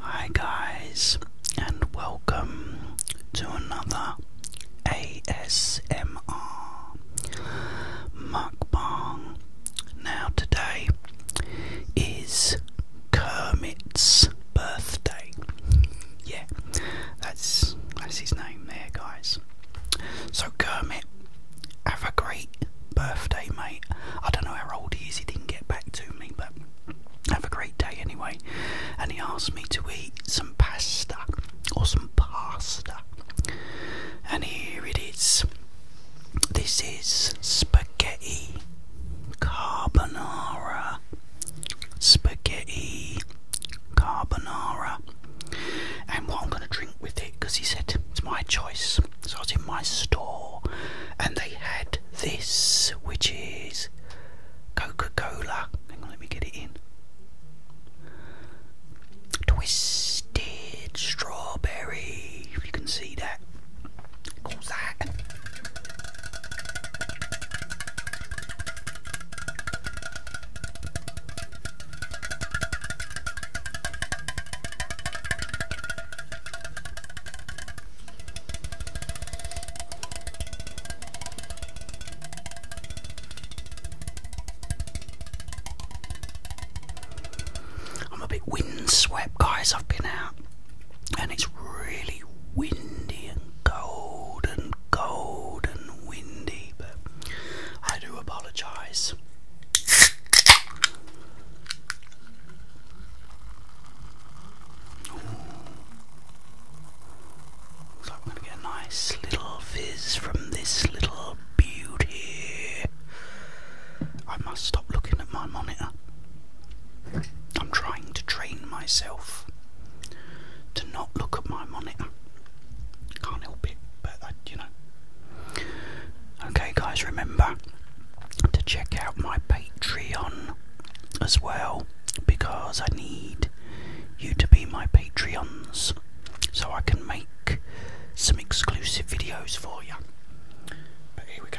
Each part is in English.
Hi guys and welcome to another ASMR mukbang. Now today is Kermit's birthday. Yeah, that's that's his name there guys. So Kermit, have a great birthday, mate. I don't know how old he is, he didn't get back to me, but have a great day anyway. And he asked me to eat some pasta or some pasta. And here it is. This is spaghetti carbonara. Spaghetti carbonara. And what I'm going to drink with it, because he said it's my choice. So I was in my store and they had this, which is Coca Cola. Hang on, let me get it in. Twisted strawberry, if you can see that. What's that? I'm a bit windswept, guys. I've been out and it's really windy and cold and cold and windy, but I do apologise. Looks like we're going to get a nice little fizz from this little beauty. I must stop looking at my monitor. I'm trying to train myself to not look at my monitor. Can't help it, but you know, Okay, guys, remember to check out my Patreon as well because I need you to be my Patreons so I can make some exclusive videos for you. But here we go.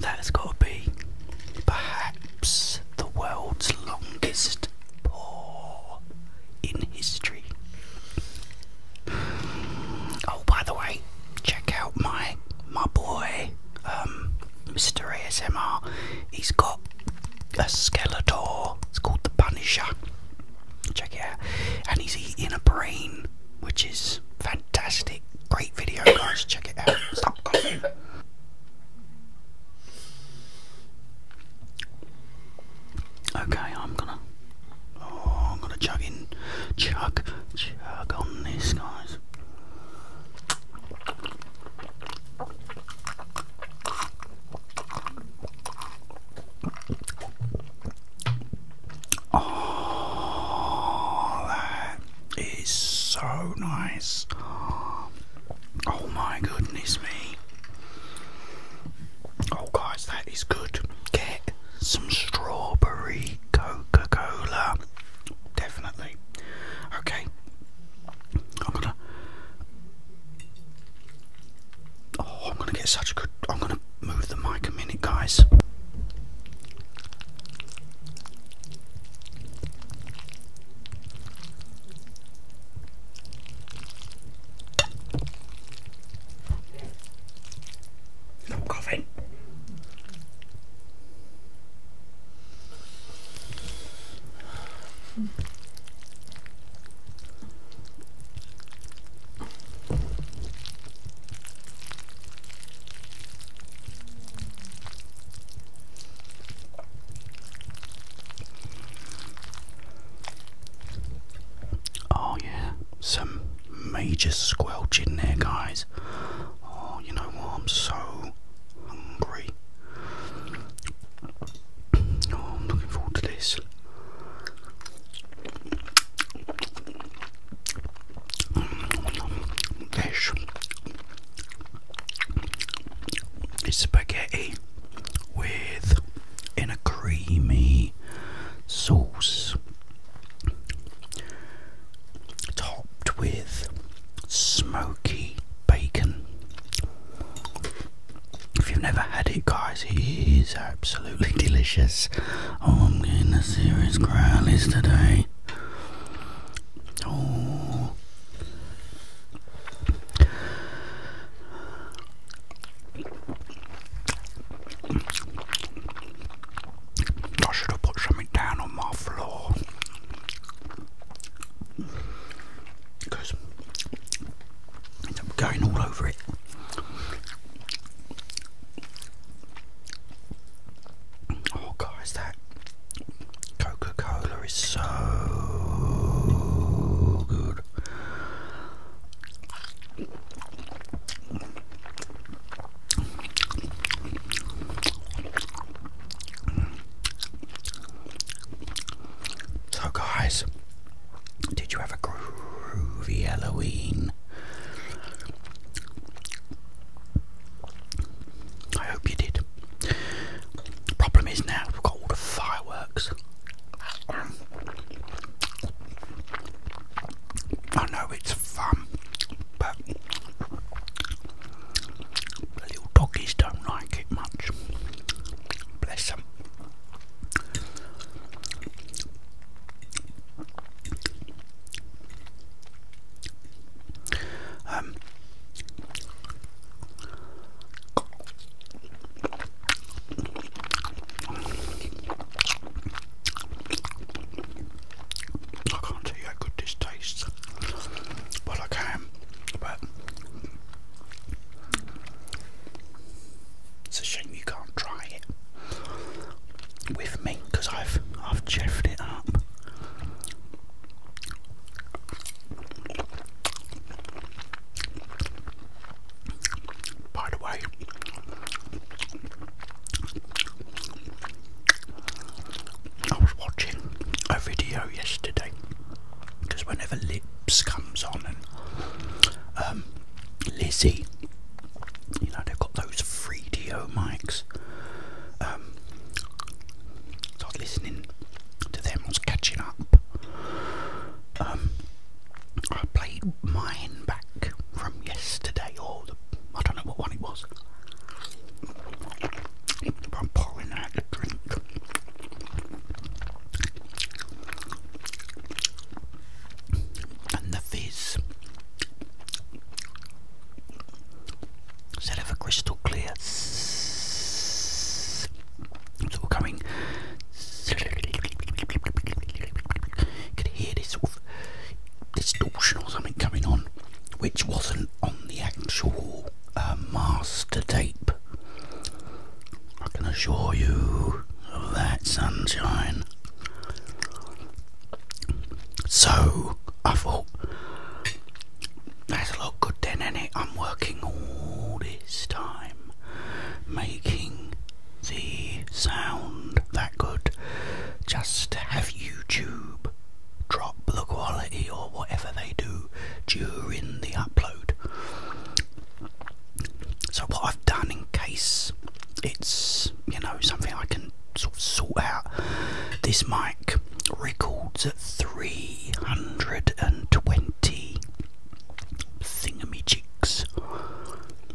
That has got to be perhaps the world's longest pour in history. Oh, by the way, check out my my boy um, Mr. ASMR. He's got a Skeletor. It's called the Punisher. Check it out. And he's eating a brain, which is fantastic. Great video, guys. Check it out. Stop coughing. Okay, I'm gonna. Oh, I'm gonna chug in. Chug. Chug on this, guys. Oh, that is so nice. Oh, my goodness me. Oh, guys, that is good. Get some strawberry Coca Cola. Definitely. Okay, I'm gonna. Oh, I'm gonna get such a good. I'm gonna move the mic a minute, guys. Stop coughing. Oh, yeah, some major squelch in there, guys. Oh, you know what? I'm so hungry. Oh, I'm looking forward to this. This is spaghetti with in a creamy sauce topped with smoky bacon. If you've never had it, guys, it is absolutely delicious. Oh, I'm getting a serious growlies today. Oh. I should have put something down on my floor. Because I'm going all over it. Oh, guys, that Coca Cola is so good. So, guys, did you have a groovy Halloween? I hope you did. Problem is now we've got all the fireworks. I know it's fun, but little doggies don't like it much. Bless them. Um, I can't tell you how good this tastes. but I can, but it's a shame you can't try it with me because I've I've chuffed it up. By the way, I was watching a video yesterday because whenever Lips comes on and um, Lizzie, you know, they've got those free DO mics. Um, I was listening to them, I was catching up. Um, I played mine back from yesterday or the I don't know what one it was. I'm pouring out the drink. And the fizz. Instead crystal clear, it's all coming. You could hear this sort of distortion or something coming on, which wasn't on the actual uh, master tape. I can assure you of that sunshine. So I thought that's a lot good then, ain't it? I'm working all this time making the sound that could just have YouTube drop the quality or whatever they do during the upload. So, what I've done in case it's you know something I can sort of sort out, this mic records at 320 thingamajiggs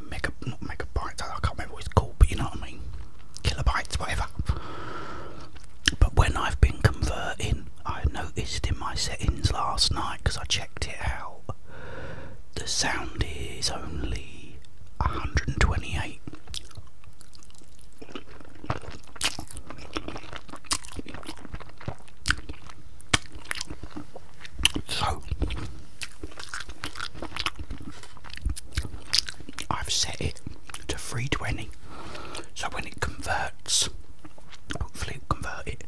mega not megabytes. I can't remember what it's called, but you know what I mean. Kilobytes, whatever. But when I've been converting, I noticed in my settings last night because I checked it out. The sound is only 128. So, I've set it to 320. So, when it converts, hopefully, it'll convert it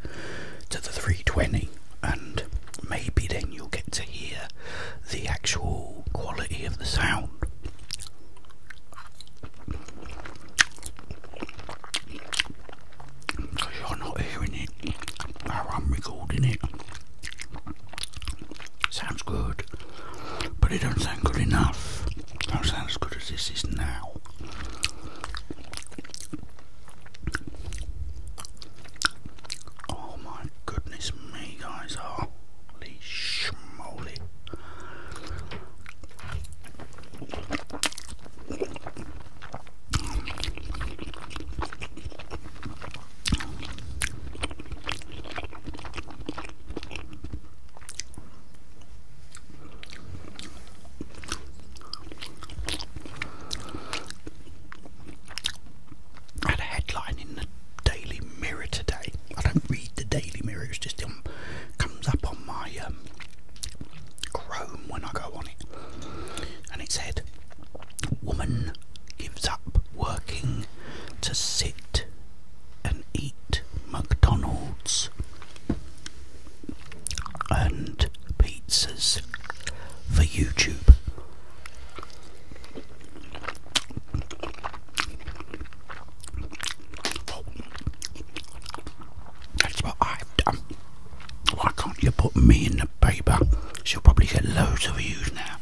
to the 320, and maybe then you'll get to hear the actual quality of the sound. Because you're not hearing it how I'm recording it. Sounds good, but it don't sound good enough. don't sound as good as this is now. Oh my goodness me, guys! Holy schmoly! I had a headline in the Daily Mirror today. I don't read the Daily Mirror, it just um, comes up on my um, Chrome when I go on it. And it said Woman gives up working to sit and eat McDonald's and pizzas for YouTube. That's what I've done. Why can't you put me in the paper? She'll probably get loads of views now.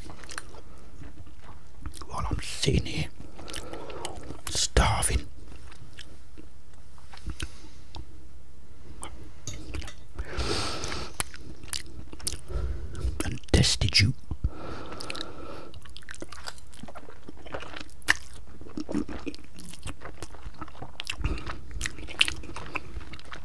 While I'm sitting here, starving. And destitute.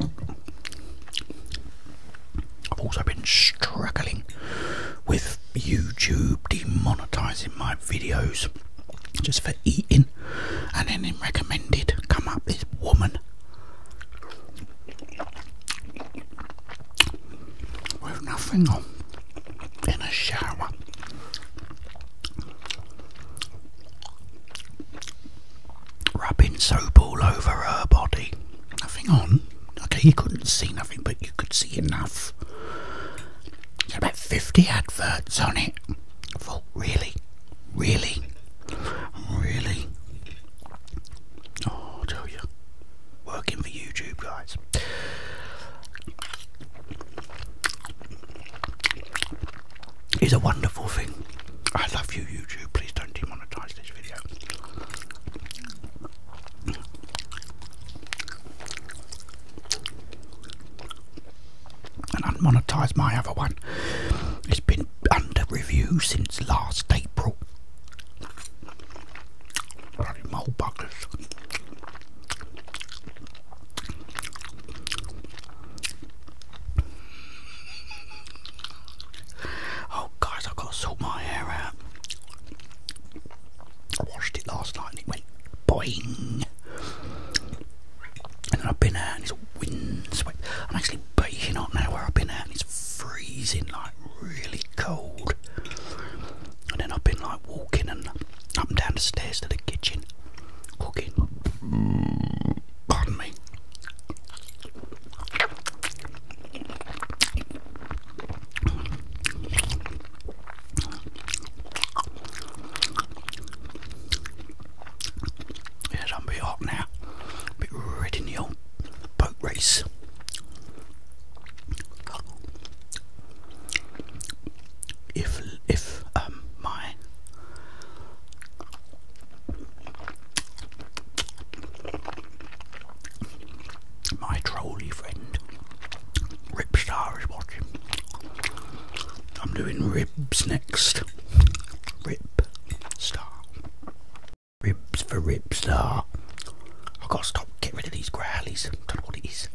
I've also been struggling with YouTube demonetizing my videos just for eating, and then in recommended come up this woman with nothing on in a shower rubbing soap all over her body. Nothing on. Okay, you couldn't see nothing, but you could see enough. about 50 adverts on it. I thought, really? Really? Really? Oh, tell you. Working for YouTube, guys is a wonderful thing. I love you, YouTube. Please don't demonetize this video. And unmonetized my other one. It's been under review since last April. Bloody mole Oh, guys, I've got to sort my hair out. I washed it last night and it went boing. And then I've been out and it's windswept. I'm actually baking hot now where I've been out and it's freezing, like really cold. And then I've been like walking and I'm down the stairs to the kitchen, cooking. Pardon me. Yes, I'm a bit hot now. A bit red in the old boat race if if um mine, my trolley friend Ripstar is watching. I'm doing ribs next. Rib star. Ribs for Ripstar. I've got to stop, get rid of these growlies. Don't know what it is.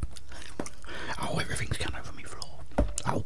Oh, everything's coming gone over me floor. Oh,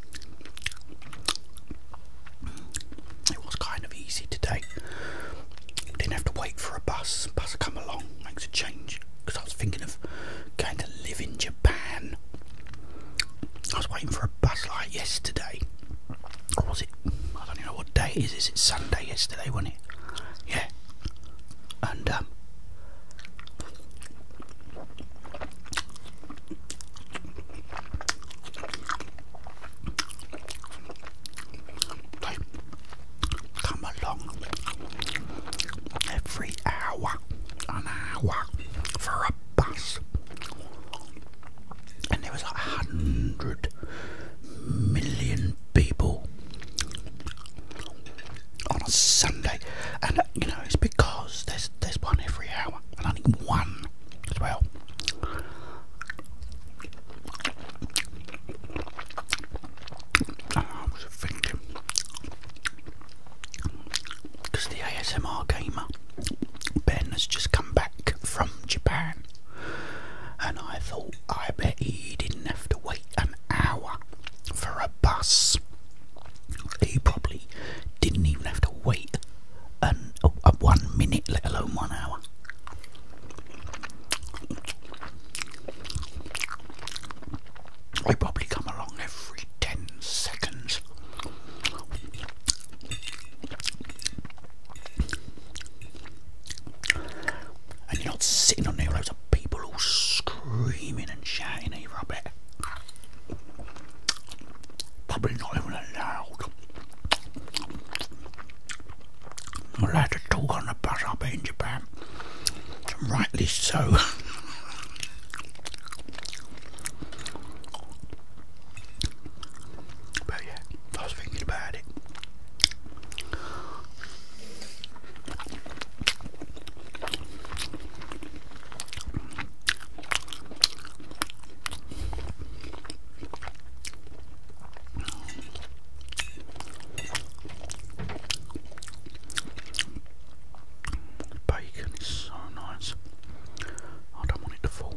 It was kind of easy today. Didn't have to wait for a bus. Bus come along, makes a change. Because I was thinking of going to live in Japan. I was waiting for a bus like yesterday. Or was it? I don't know what day is. Is it Sunday yesterday, wasn't it? Yeah. And um, they come along every hour, an hour for a bus, and there was a hundred million people on a Sunday, and you know it's because there's there's one every hour, and I need one as well. Ah, I was thinking, because the ASMR gamer Ben has just come back from Japan, and I thought I bet he didn't have to wait an hour for a bus he probably didn't even have to wait a, one minute, let alone one hour. I probably come along every ten seconds. And you're not sitting on there, loads of people all screaming and shouting at you, Probably not even allowed. I'm allowed to talk on the bus up in Japan. rightly so. but yeah, I was thinking about it. Bacon is so nice. I don't want it to fall.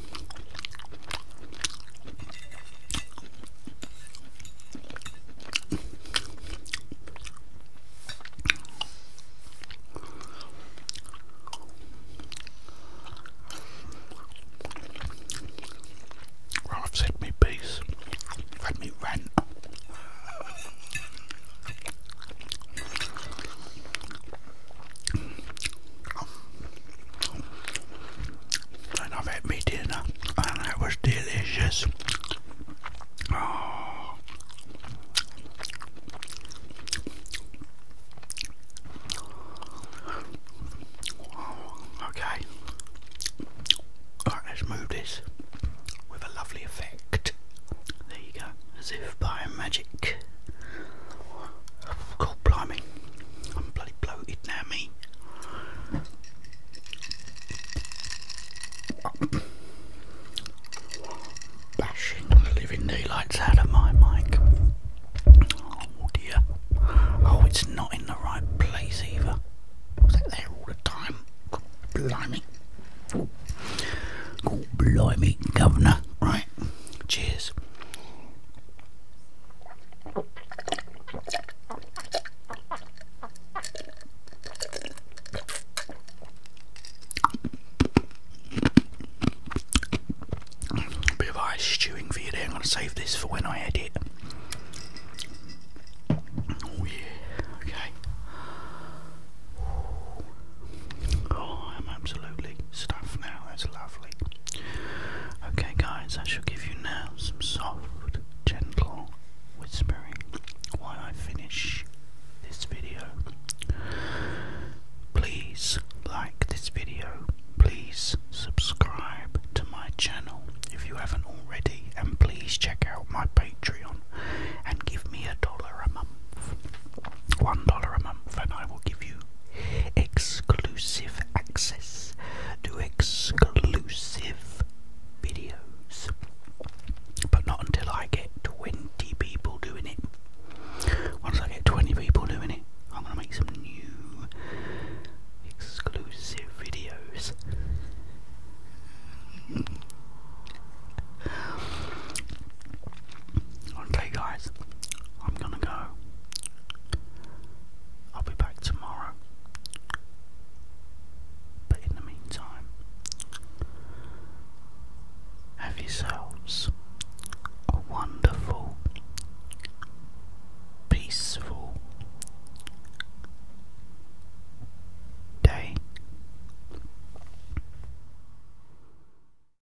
Well, I've said me piece, i me rant and I've had me dinner and that was delicious. Oh. Okay. Alright, let's move this with a lovely effect. There you go, as if by magic. God blimey, I'm bloody bloated now, me. Bashing living daylights out of my mic. Oh dear. Oh, it's not in the right place either. Was that there all the time? God blimey. God blimey, governor. Right, cheers bit of ice stewing for you there. I'm going to save this for when I edit. Oh, yeah, okay. Oh, I'm absolutely stuffed now. That's lovely. Okay, guys, I shall give you now some soft, gentle whispering while I finish this video. Please like this video, please subscribe to my channel if you haven't already, and please check out my Patreon and give me a dollar a month. One dollar a month, and I will give you exclusive access to exclusive videos. But not until I get 20 people doing it. Once I get 20 people doing it, I'm going to make some new exclusive videos. Okay, guys, I'm gonna go. I'll be back tomorrow. But in the meantime, have yourselves a wonderful, peaceful day.